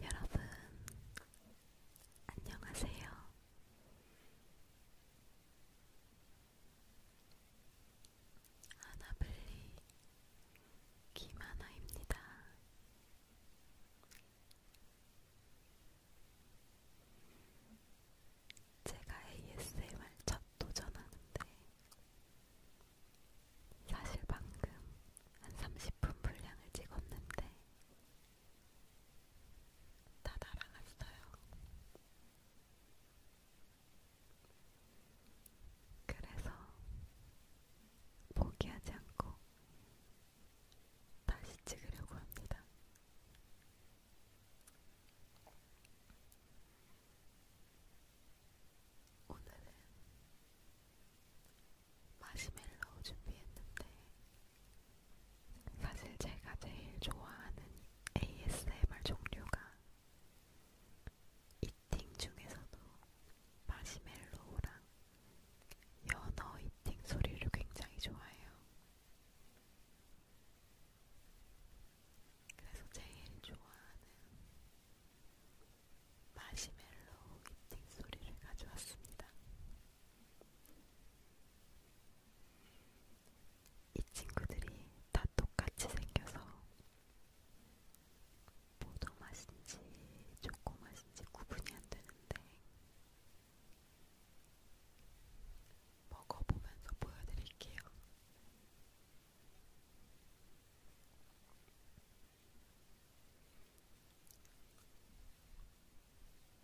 여러분, 안녕하세요. 하나블리 김하나입니다. 제가 ASMR 첫 도전하는데 사실 방금 한 30분 분량을 찍었는데 다 날아갔어요. 그래서 포기하지 않고 다시 찍으려고 합니다. 오늘은 마시멜로 준비했는데 사실 제가 제일 좋아하는 ASMR 종류가 이팅 중에서도 마시멜로우랑 연어 이팅 소리를 굉장히 좋아해요. 그래서 제일 좋아하는 마시멜로우 이팅 소리를 가져왔습니다. 이 친구들이 다 똑같이 생겨서 포도 맛인지 초코 맛인지 구분이 안 되는데 먹어보면서 보여드릴게요.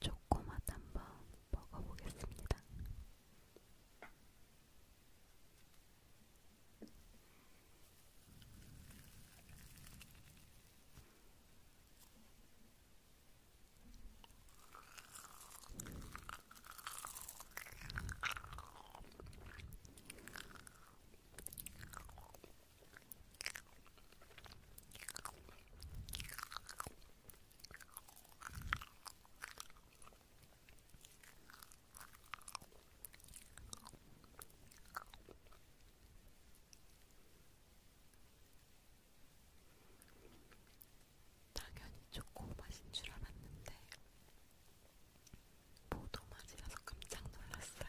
초코맛 한번 먹어보겠습니다. 당연히 초코 맛인 줄 알았는데 보도 맛이라서 깜짝 놀랐어요.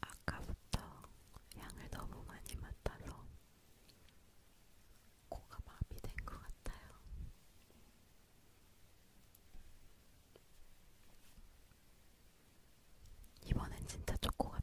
아까부터 향을 너무 많이 맡아서 코가 마비된 것 같아요. 이번엔 진짜 초코 같아요.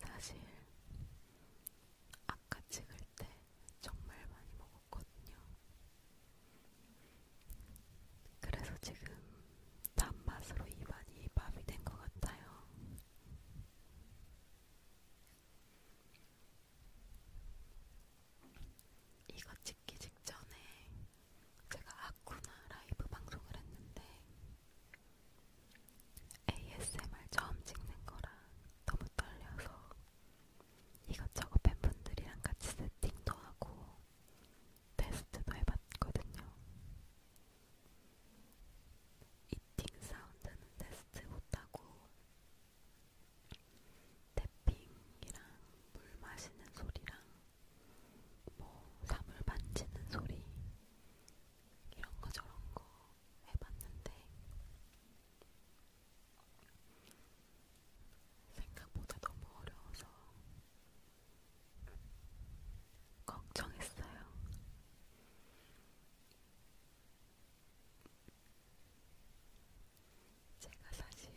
사실 아까 찍을 때 정말 많이 먹었거든요. 그래서 지금 단맛으로 입안이 밥이 된 것 같아요. 이거 찍기 직전에 제가 아쿠나 라이브 방송을 했는데 ASMR 처음 찍는 거라 너무 떨려서 이것저것 팬분들이랑 같이 세팅도 하고 테스트도 해봤거든요. 이팅 사운드는 테스트 못하고 태핑이랑 물 마시는 소리랑 뭐 사물 만지는 소리 이런 거 저런 거 해봤는데 생각보다 너무 어려워서 걱정했어요. 제가 사실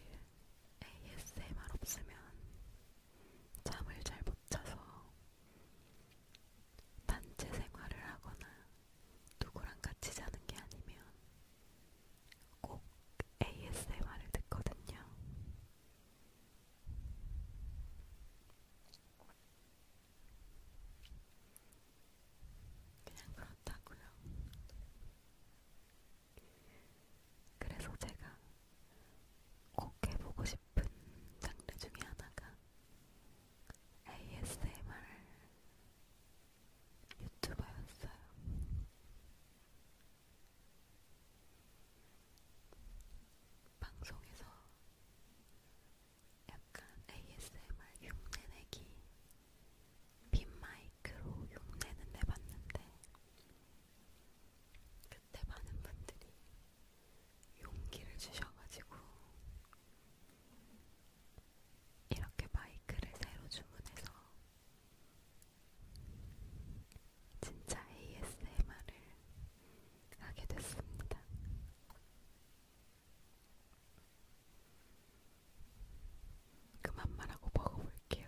ASMR 없으면 잠을 잘 못 자서 단체 생활을 하거나 누구랑 같이 자는 게 아니면 꼭 ASMR을 듣거든요. 그냥 그렇다고요. 그래서 제가 꼭 해보고 싶은 장르 중에 하나가 ASMR 유튜버였어요. 방송에서 약간 ASMR 흉내내기 빈마이크로 흉내는 내봤는데 그때 많은 분들이 용기를 주셔가지고 이렇게 마이크를 새로 주문해서 진짜 ASMR을 하게 됐습니다. 그만 말하고 먹어볼게요.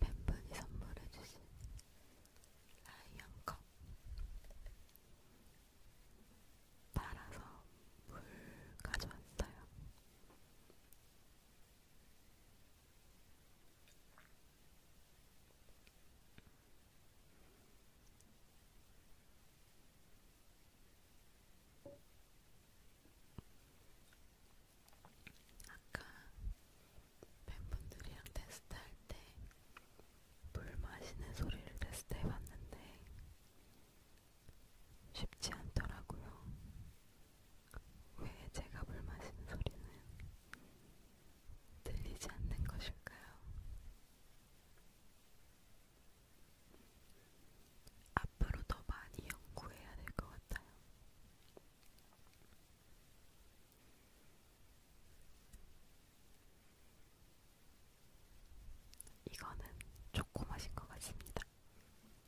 팬분이 선물해주신 라이언 컵 따라서 물 가져왔어요. 아까 팬분들이랑 테스트할 때 물 마시는 소리를 테스트해봤는데 쉽지 않더라고요. 왜 제가 물 마시는 소리는 들리지 않는 것일까요? 앞으로 더 많이 연구해야 될 것 같아요. 이거는 초코 맛인 것 같습니다.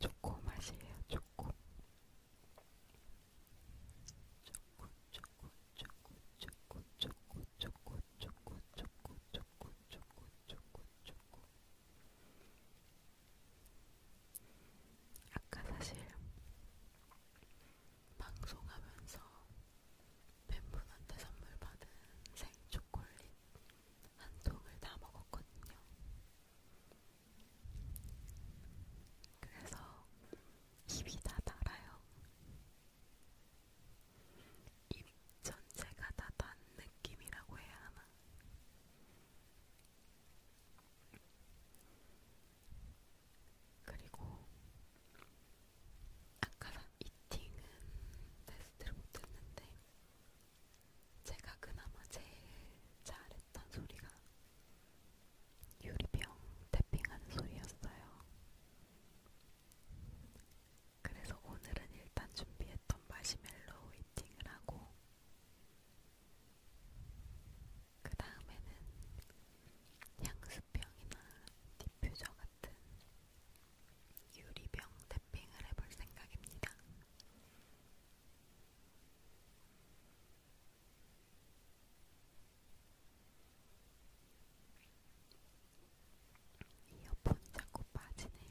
초코 맛이에요, 초코. 아까 사실 방송하면서 팬분한테 선물 받은 생 초콜릿 한 통을 다 먹었거든요. 그래서 입이 다 달아요. 입 전체가 다 단 느낌이라고 해야 하나? 그리고 아까 이팅은 테스트를 못했는데 제가 그나마 제일 잘했던 소리가 유리병 태핑하는 소리였어요. 그래서 오늘은 일단 준비했던 마시멜로 웨이팅을 하고, 그 다음에는 향수병이나 디퓨저 같은 유리병 태핑을 해볼 생각입니다. 이어폰이 자꾸 빠지네요.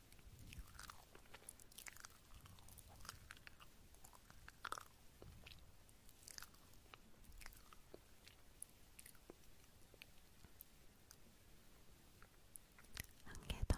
한개 더.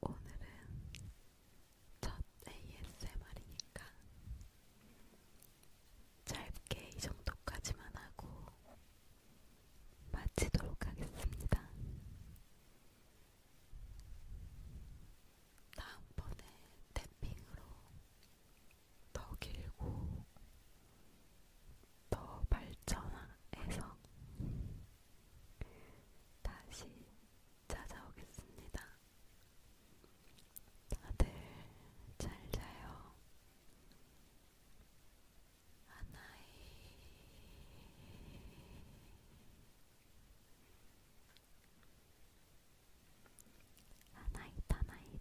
오늘은 첫 ASMR이니까 짧게 이 정도까지만 하고 마치도록 하겠습니다. 다음번에 탭핑으로 더 길고 더 발전해서 다시 찾아오겠습니다. 다들 잘 자요. 하나이. 하나이, 하나이.